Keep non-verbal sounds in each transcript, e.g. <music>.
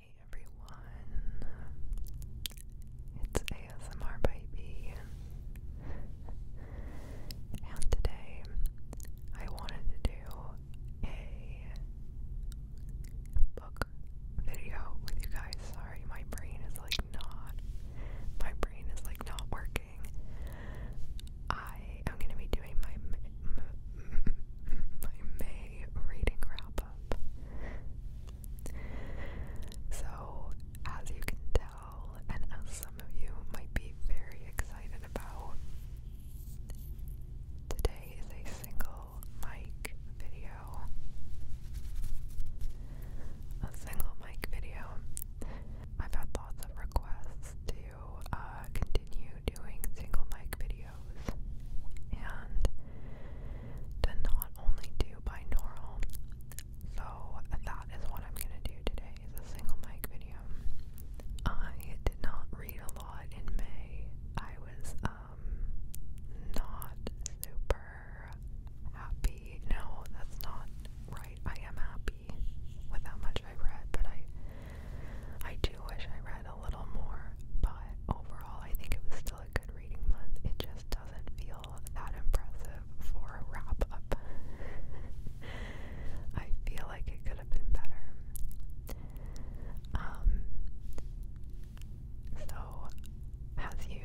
Hey everyone, it's ASMR Baby, and today I wanted to do a book video with you guys. Sorry, my brain is like not, my brain is like not working. I am gonna be doing my. <laughs> my May reading wrap so, as you can tell, and as some of you might be very excited about, today is a single mic video. A single mic video. I've had lots of requests to uh, continue doing single mic videos and to not only do binaural. So that is what I'm gonna do today is single mic video. I did not read a lot in May. I was um, not super happy. No, that's not right. I am happy with much I read, but I I do wish I a little more, but overall, I think it was still a good reading month. It just doesn't feel that impressive for a wrap up. <laughs> I feel like it could have been better. Um, so, as you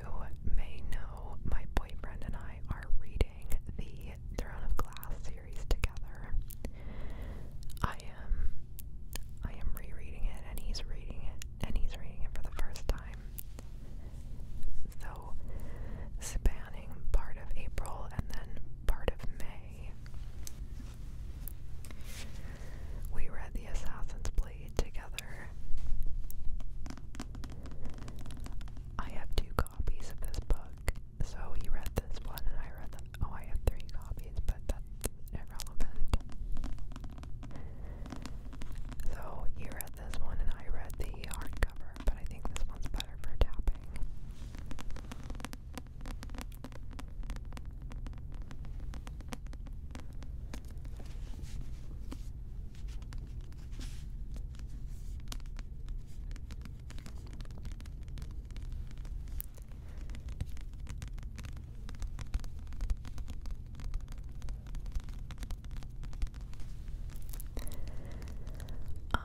may know, my boyfriend and I are reading the Throne of Glass series together. I am um, I am rereading it and he's reading it and he's reading it for the first time. So spanning part of April and then part of May. We read The Assassin's Blade together. I have two copies of this book. So he read this one and I read the Oh, I have three copies, but that's irrelevant. So you read this one, and I read the hardcover, but I think this one's better for tapping. Um,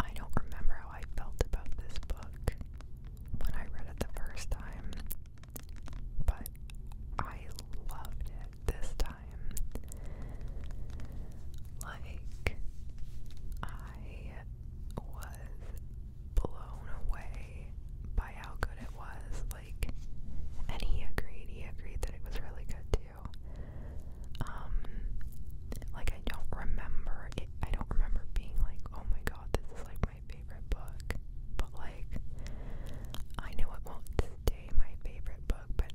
I don't remember how I felt about this book when I read it the first time, but I loved it this time. Like, I was blown away by how good it was. Like, and he agreed. He agreed that it was really good too. Um, like I don't remember I don't remember being like, oh my god, this is like my favorite book. But like, I know it won't stay my favorite book. But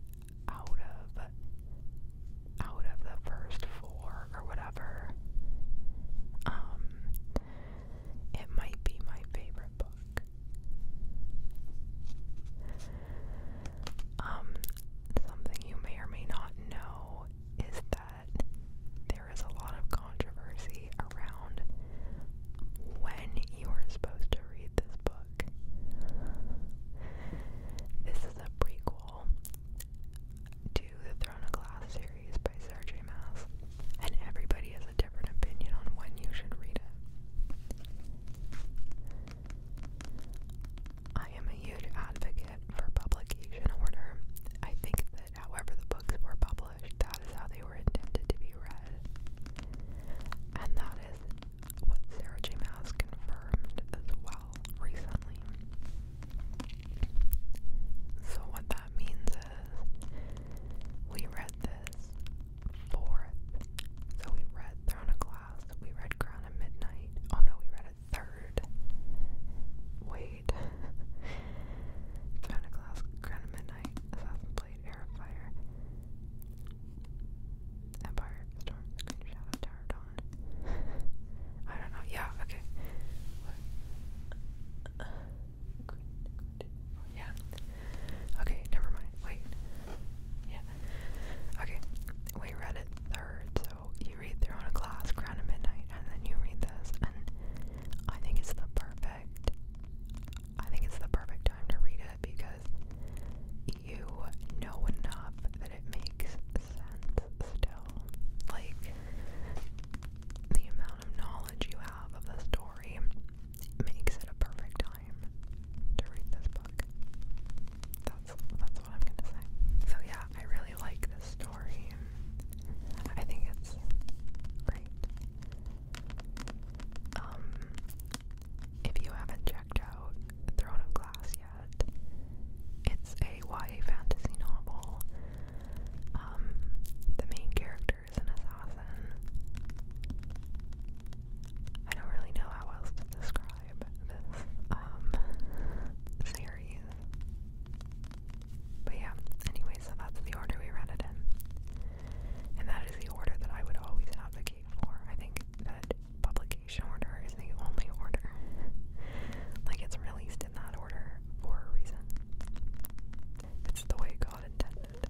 out of out of the first four or whatever, um, it might be my favorite book. Um, something you may or may not know is that there is a lot of controversy around when you are supposed to read this book. This is a prequel the Throne of Glass series by Sarah J. Maas, and everybody has a different opinion on when you should read it. I am a huge advocate for publication order. I think that however the books were published, that is how they were intended to be read. And that is what Sarah J. Maas confirmed as well recently. So, what that means is we read this fourth. So, we read Throne we read Crown at Midnight. Oh no, we read a third. Wait. <laughs> Throne Crown at Midnight, Assassin's Blade, Empire, Storm, Screen Shadow, Tower of Dawn. <laughs> I don't know. Yeah, okay yeah. Okay, never mind. Wait. Yeah. Okay, we read it third, so you read through a class, Crown at Midnight, and then you read this, and I think it's the perfect. I think it's the perfect time to read it because you know enough that it makes sense still. Like, the amount of knowledge you have of the story makes it a perfect time to read this book. That's that's what I'm gonna say. So yeah, I really like this story. I think it's great. Um if you haven't checked out Throne of Glass yet, it's a YA fantasy novel um, the main character is an assassin. I don't really know how else to describe this um series. But yeah, anyway, so that's the order we read it in. And that is the order that I would always advocate for. I think that publication order is the only order. like it's really in that order for a reason. It's the way God intended.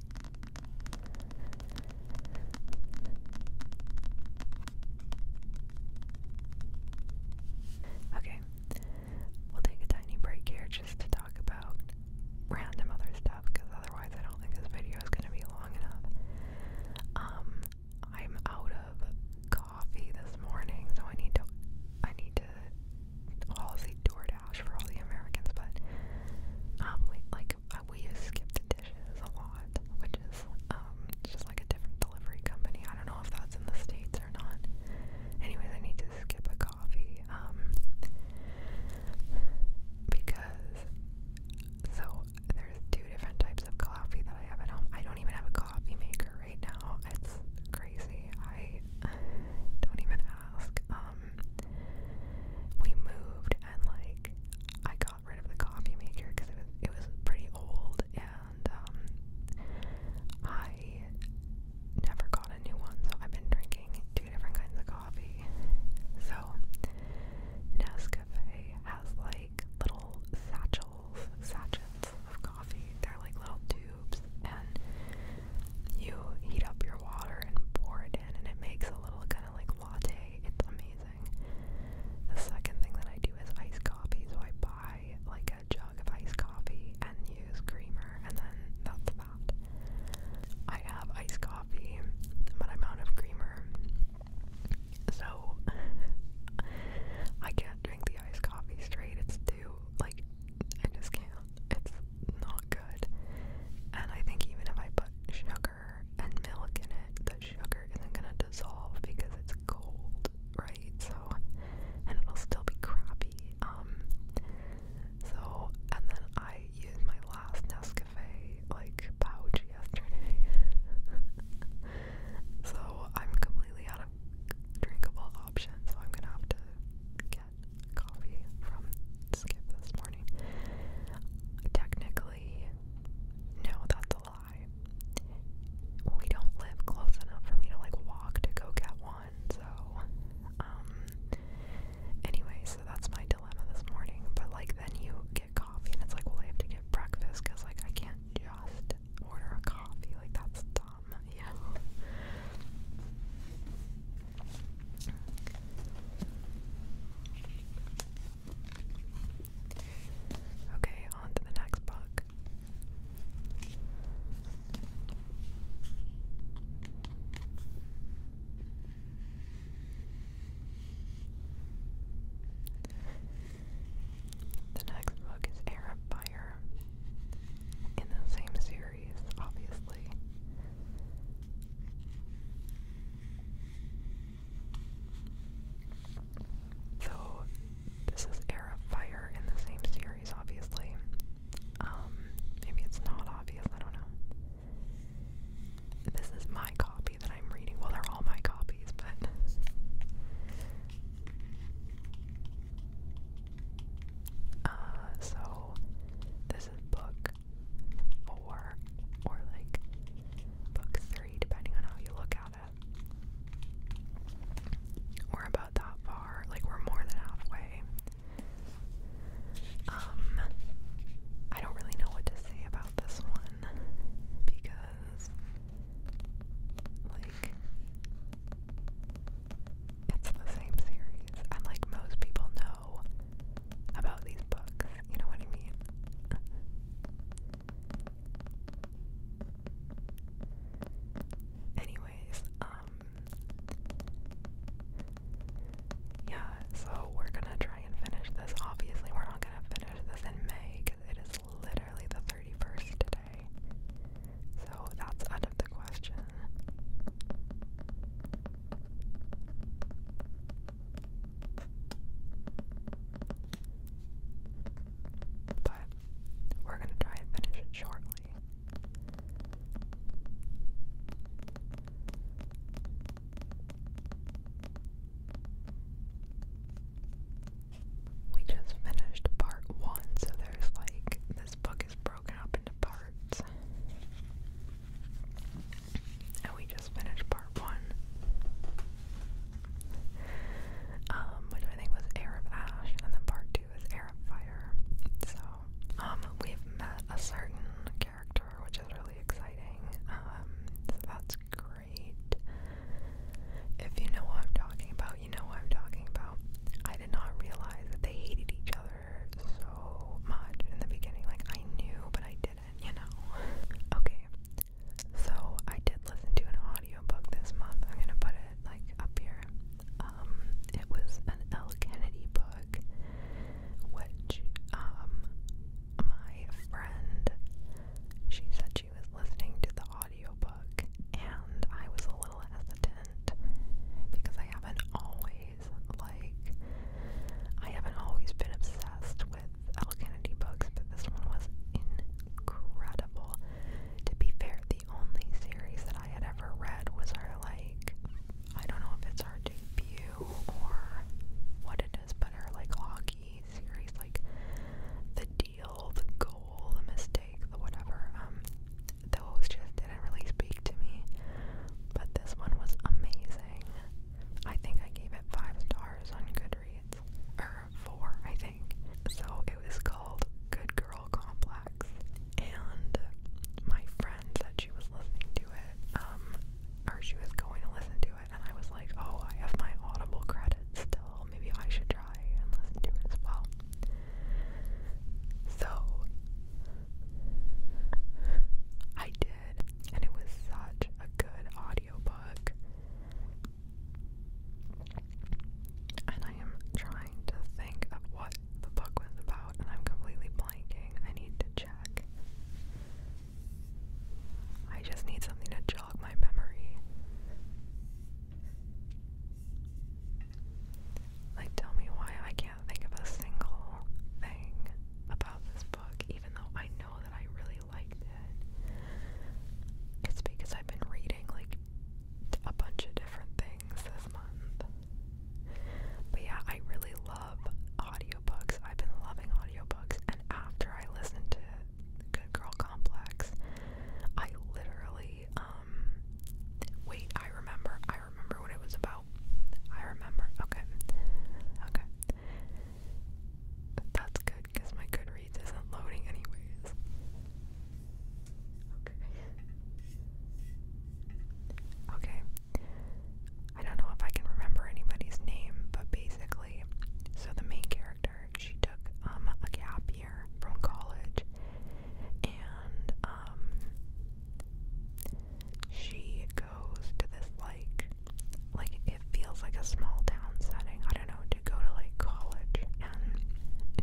Okay, we'll take a tiny break here just to talk about random other stuff because otherwise I don't think this video is going to be long enough. Um, I'm out of coffee this morning, so I need to I need to I'll say DoorDash for all the Americans, but um, we like uh, we use Skip the Dishes a lot, which is um, just like a different delivery company. I don't know if that's in the states or not. Anyways, I need to skip a coffee um, because so there's two different types of coffee that I have at home. I don't even have a coffee maker right now. It's crazy. I don't even ask. Um, we moved and like I got rid of the coffee maker because it was it was pretty old and um, I never got a new one, so I've been drinking two different kinds of coffee. So Nescafe has like little satchels, sachets of coffee. They're like little tubes and you heat up your water and pour it in and it makes a little kind of like latte. It's amazing. The second thing that I do is iced coffee. So I buy like a jug of iced coffee and use creamer and then that's that. I have iced coffee but I'm out of creamer. So <laughs> I can't drink the iced coffee straight. It's too like I just can't. It's not good. And I think even if I put sugar and milk in it, the sugar isn't gonna dissolve because it's cold, right? So, and it'll still be crappy. Um, so, and then I used my last Nescafe like pouch yesterday. <laughs> so I'm completely out drinkable option, so I'm gonna have to get coffee from Skip this morning. Technically, no, that's a lie. We don't live close enough for me to like walk to go get one, so um anyway, so that's my dilemma this morning. But like then you get coffee and it's like well I have to get breakfast because like I can't just order a coffee. Like that's thumb. Yeah. Okay, on to the next book. The next book is Arab Fire in the same series, obviously. So this is Air of Fire in the same series, obviously. Um, maybe it's not obvious, I don't know. This is my copy that I'm reading. Well, they're all my copies, but uh, so this is book four, or like book three, depending on how you look at it. We're about that far, like we're more than halfway. Um, I don't really know what to say about this one because, like, it's the same series. And like most people know about these books, you know what I mean? Anyways, um yeah, so we're gonna try and finish this. Obviously, we're not gonna finish this in May because it is literally the 31st so that's out of the question. But we're going to try and finish it shortly. We just finished part one, so there's like this book is broken up into parts. And we just finished part one. Um, which I think was Air of Ash, and then part two is Air of Fire. So, um, we've met a certain character, which is really exciting. Um, that's great. If you know what I'm talking about, you know what I'm talking about. I did not realize that they hated each other so much in the beginning. Like, I knew, but I didn't, you know? <laughs> okay, so I did listen to an audio book this month. I'm gonna put it, like, up here. Um, it was an L. Kennedy book, which, um, my friend, she said she was listening to the audio audiobook, and I was a little hesitant because I haven't always, like, I haven't always been obsessed with L. Kennedy books, but this one was incredible. To be fair, the only series that I had ever read was her, like, I don't know if it's our debut or what it is, but her, like, hockey series, like, the the goal, the mistake, the whatever. Um, those just didn't really speak to me. But this one was amazing. I think I gave it five stars on Goodreads, or four, I think. So it was called Good Girl Complex, and my friend said she was listening to it, um, or she was going to listen to it, and I was like, oh, I have my Audible credits still. Maybe I should try and listen to it as well. So I did, and it was such a good audiobook. And I am trying to think of what the book was about, and I'm completely blanking. I need to check. I just need something to jog my memory. Like, tell me why I can't think of a single thing about this book, even though I know that I really liked it. It's because I've been reading, like, a bunch of different things this month. But yeah, I really love audiobooks. I've been loving audiobooks, and after I listened to Good Girl Complex, I literally actually, um, wait, I remember, I remember what it was about. I remember, okay, okay. That's good, because my Goodreads isn't loading anyways. Okay. Okay. I don't know if I can remember anybody's name, but basically, so the main character, she took um, a gap year from college and um she goes to this like like it feels like a small town setting, I don't know, to go to like college and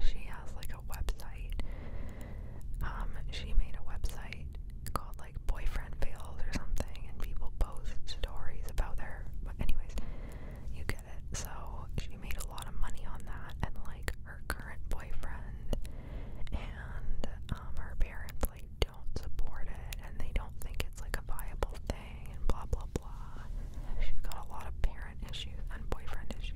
she has like a website. Um she made a website called like boyfriend fails or something and people post stories about their but anyways you can so she made a lot of money on that, and like her current boyfriend and um, her parents like don't support it, and they don't think it's like a viable thing, and blah blah blah. She's got a lot of parent issues and boyfriend issues.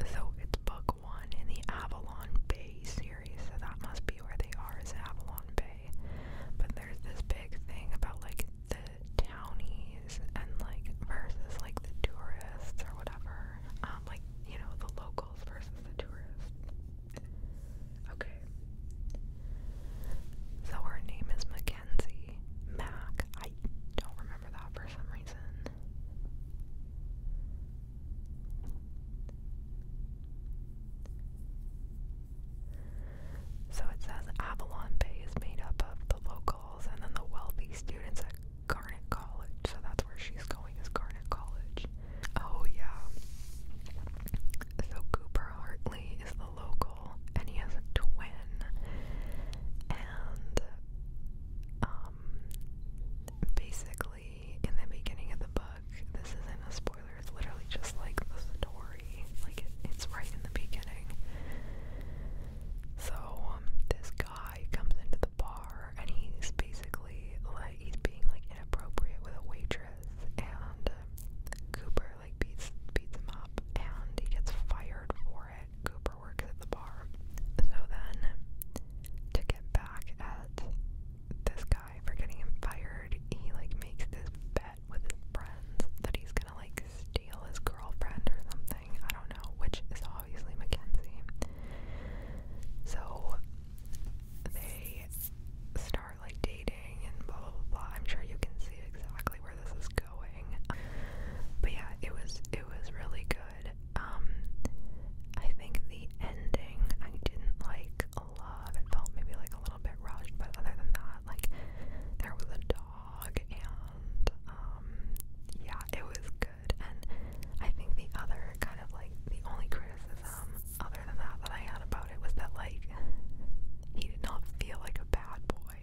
So it's book one in the Avalon Bay series, so that must be where they are is Avalon Bay. But there's this big thing about like the townies and like versus like the tourists or whatever. Um like, you know, the locals versus the tourists. Okay. So her name is Mackenzie Mac. I don't remember that for some reason. So it says Avalon Bay is made up of the locals and then the wealthy students at Garnet College. So that's where she's going is Garnet College. Oh yeah. So Cooper Hartley is the local and he has a twin. And um, basically, in the beginning of the book, this isn't a spoiler, it's literally just like the story, like it, it's right in the beginning. So, um, this guy comes into the bar and he's basically like, he's being like inappropriate with a waitress, and uh, Cooper like beats, beats him up, and he gets fired for Cooper works at the bar. So then, to get back at this guy for getting him fired, he like makes this bet with his friends that he's gonna like steal his girlfriend or something. I don't know, which is obviously Mackenzie. So they start like dating and blah blah. blah. I'm sure you can see exactly where this is going. But yeah, it was it was really good good. Um, I think the ending I didn't like a lot. It felt maybe like a little bit rushed, but other than that, like there was a dog, and um, yeah, it was good. And I think the other kind of like the only criticism other than that that I had about it was that like he did not feel like a bad boy.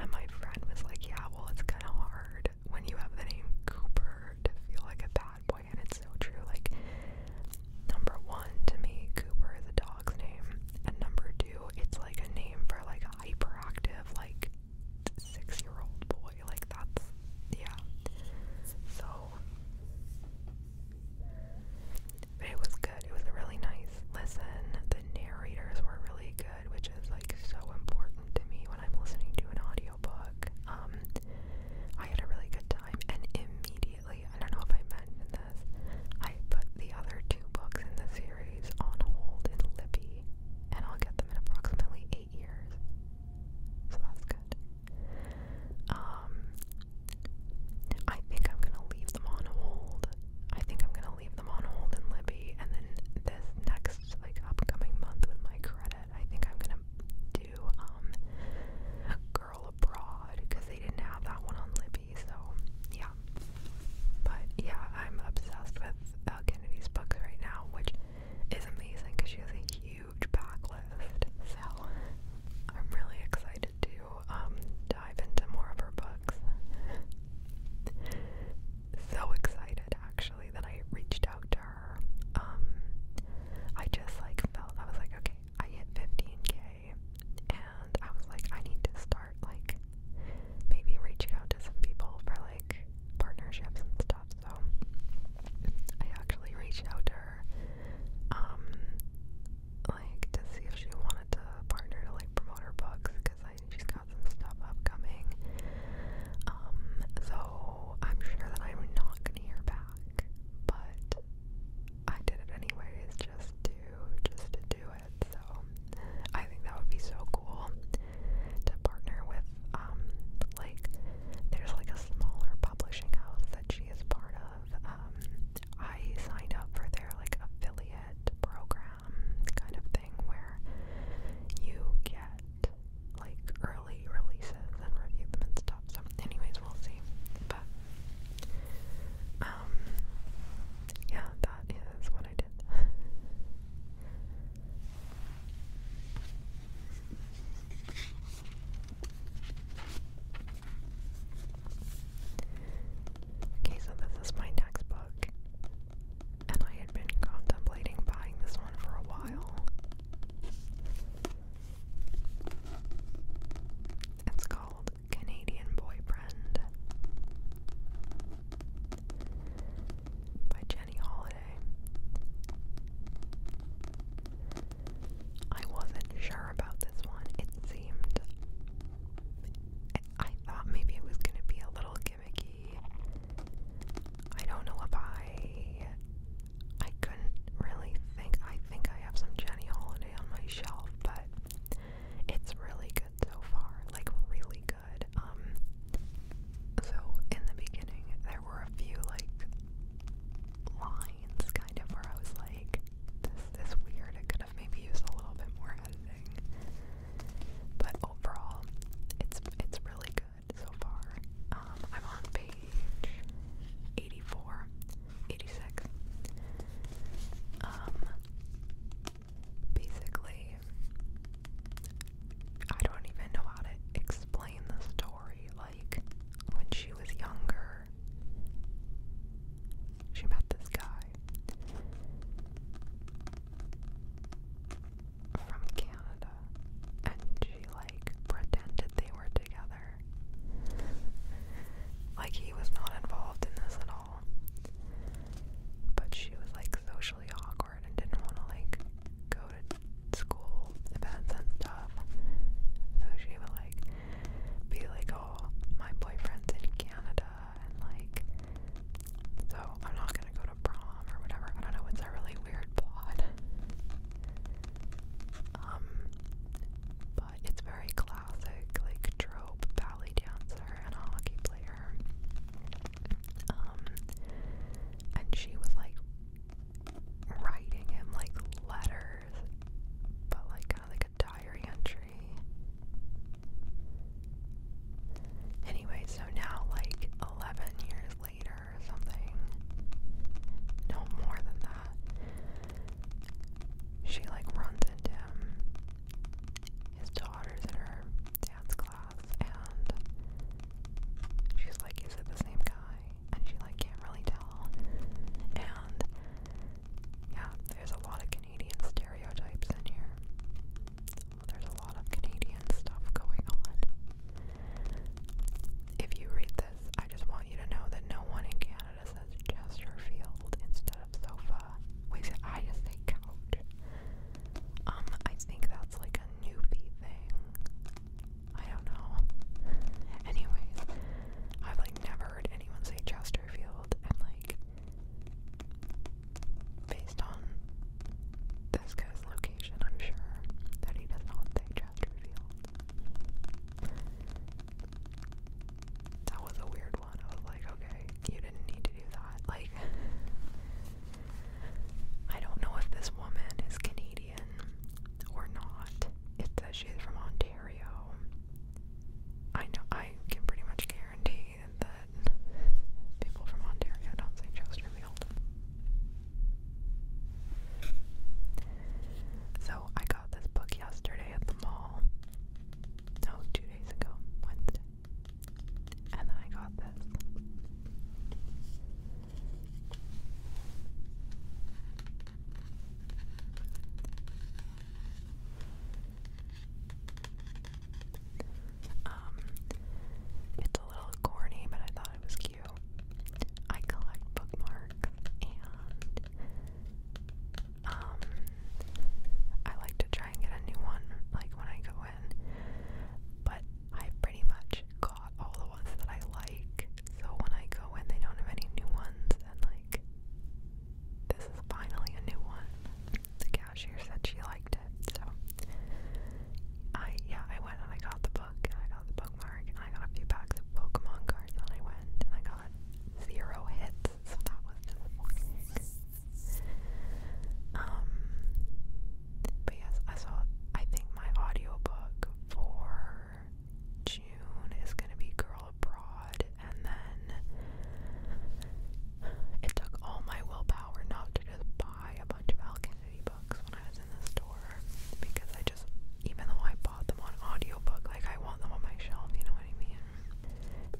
And my friend was like, yeah, well, it's kind of hard when you have the name Cooper to feel like a bad boy, and it's so true. Like, number one, to me, Cooper is a dog's name, and number two, it's like a name for like hyperactive, like six year old boy. Like, that's yeah. So, but it was good, it was really nice. Listen, the narrators were really good good, which is like so important to me when I'm listening to an audiobook. Um, I had a really good time, and immediately, I don't know if I mentioned this, I put the other two books in the series on hold in Libby, and I'll get them in approximately eight years. So that's good. Um, I think I'm gonna leave them on hold. I think I'm gonna leave them on hold in Libby, and then this next like upcoming month with my credit, I think I'm gonna do um Girl Abroad because they didn't have that one on Libby, so yeah. But yeah, I'm obsessed with Al uh, Kennedy's books right now, which is amazing because she has a huge backlist. So I'm really excited to um dive into more of her books so excited actually that I reached out to her. Um, I just like felt I was like, okay, I hit 15k, and I was like, I need to start like maybe reaching out to some people for like partnerships and stuff. So I actually reached out to her, um, like to see if she wanted to partner to like promote her books because She's got some stuff upcoming. Um, so I'm sure that I'm not gonna hear back, but I did it anyways just to just to do it. So I think that would be so cool to partner with um, like there's like a smaller publishing house that she is part of. Um, I signed up for their like affiliate program um, kind of thing where you get like early releases and review them and stuff. So, anyways, we'll see. But, um, yeah, that is what I did. <laughs> Okay, so this is my textbook and I had been contemplating buying this one for a while. It's called Canadian Boyfriend by Jenny Holiday. I wasn't sure about this one. It seemed. I thought maybe it was going to be a little gimmicky. I don't know if I. I couldn't really think. I think I have some Jenny Holiday on my shelf, but it's really good so far. Like, really good. Um, so, in the beginning, there were a few, like, lines kind of where I was like, this is weird. It could have maybe used a little bit more editing. But overall, it's it's really good so far. Um, I'm on page 84, um, basically, I don't even know how to explain the story. Like, when she was younger, she met this guy from Canada and she like pretended they were together. like he was not involved in this at all. But she was like socially awkward and didn't want to like go to school events and stuff. So she would like be like, oh, my boyfriend's in Canada and like so I'm not gonna go to prom or whatever. I don't know, it's a really weird pod. Um but it's very classic, like trope ballet dancer and hockey player. Um and she was like writing him like letters but like kind of like a diary entry Anyway, so now, like 11 years later or something, no more than that, she like runs into him. His daughter's in her dance class, and she's like, Is it the same guy? And she like can't really tell. And yeah, there's a lot of Canadian stereotypes in here there's a lot of Canadian stuff going on. If you read this, I just want you to know that no one in Canada says Chesterfield instead of sofa. Wait, I just couch. Um, I think that's like a newbie thing. I don't know. Anyways, I've like never heard anyone say Chesterfield, and like Based on this guy's location, I'm sure that he does not say Chesterfield. That was a weird one. I was like, okay, you didn't need to do that. Like, I don't know if this woman is Canadian or not. It says she's from Ontario. I know I can pretty much guarantee that people from Ontario don't say Chesterfield. So I got this book yesterday at the mall. No, two days ago, And I got this. Um, it's a little corny, but I thought it was cute. I collect bookmarks and um, I like to try and get a new one like when I go in, but I pretty much got all the ones that I like, so when I go in, they don't have any new ones, and like, this is finally a new one. The cashier said she liked it. So I yeah, I went and I got the book and I got the bookmark and I got a few packs of Pokemon cards and I went and I got zero hits, so that was Um but yes, I saw I think my audiobook for June is gonna be Girl Abroad and then it took all my willpower power not to just buy a bunch of Alchemy books when I was in the store because I just, even though I bought them on audiobook, like I want them on my shelf, you know what I mean?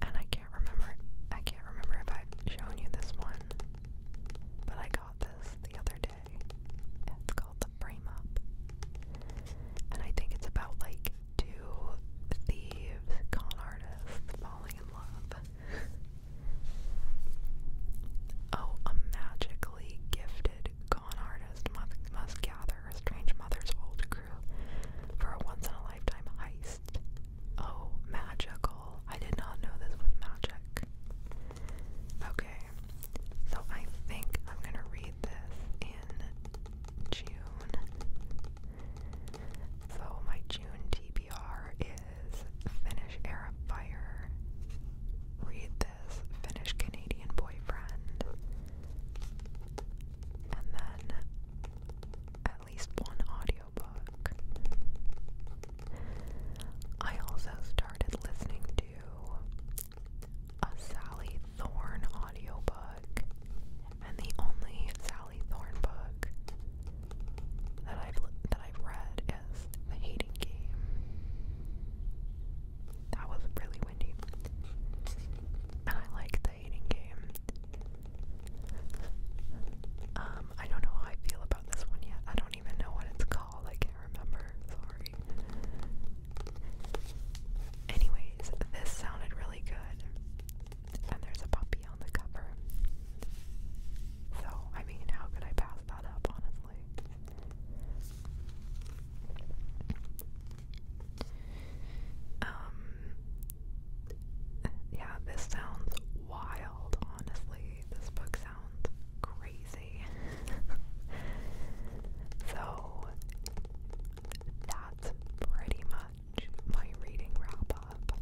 And I can't remember, I can't remember if I've shown you this one, but I got this the other day. It's called The Frame Up. And I think it's about like two thieves, con artists falling in love oh, a magically gifted con artist must, gather a strange mother's old crew for a once in a lifetime heist. Oh, magical. I did not know this was magic. Okay, so I think I'm gonna read this in June. So my June TBR is Finnish Arab Fire. Read this Finnish Canadian boyfriend. And then at least one audiobook. I also started listening to a Sally Thorne audiobook and the only Sally Thorne book that I've that I've read is The Hating Game. That was really windy. And I like The Hating Game. Um, I don't know how I feel about this one yet. I don't even know what it's called. I can't remember. Sorry. Anyways, this sounded really good and there's a puppy on the cover. So, I mean, how could I pass that up, honestly? Um, yeah, this sounds wild, honestly. This book sounds crazy. <laughs> so, that's pretty much my reading wrap up.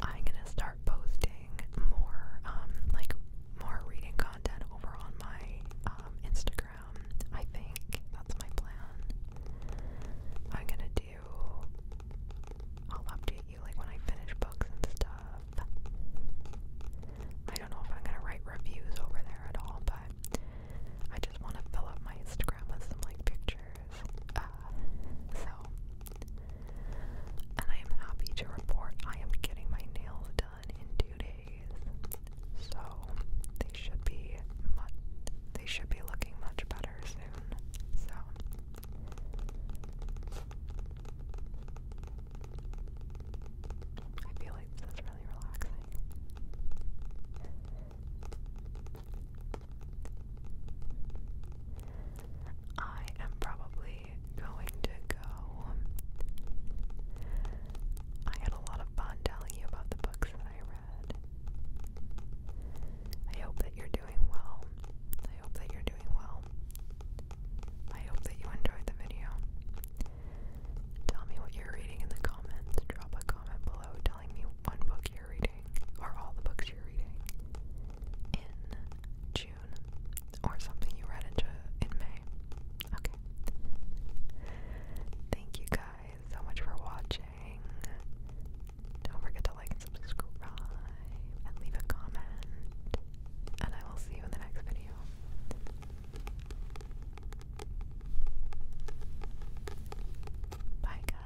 I'm gonna start posting more, um, like more reading content over on my um, Instagram. I think that's my plan. I'm gonna do. I'll update you like when I finish books and stuff. I don't know if I'm gonna write reviews over there at all, but I just want to fill up my Instagram with some like pictures uh, so, and I am happy to report I am getting my nails done in two days. So they should be much, they should be looking much better soon. So. I feel like this is really relaxing. I am probably going to go. I had a lot of fun telling you about the books that I read. I hope that you're doing well. I hope that you're doing well. I hope that you enjoyed the video. Tell me what you're reading in the comments. Drop a comment below telling me one book are all the books you're reading, in June, or something you read in, in May. Okay. Thank you guys so much for watching. Don't forget to like and subscribe, and leave a comment, and I will see you in the next video. Bye, guys.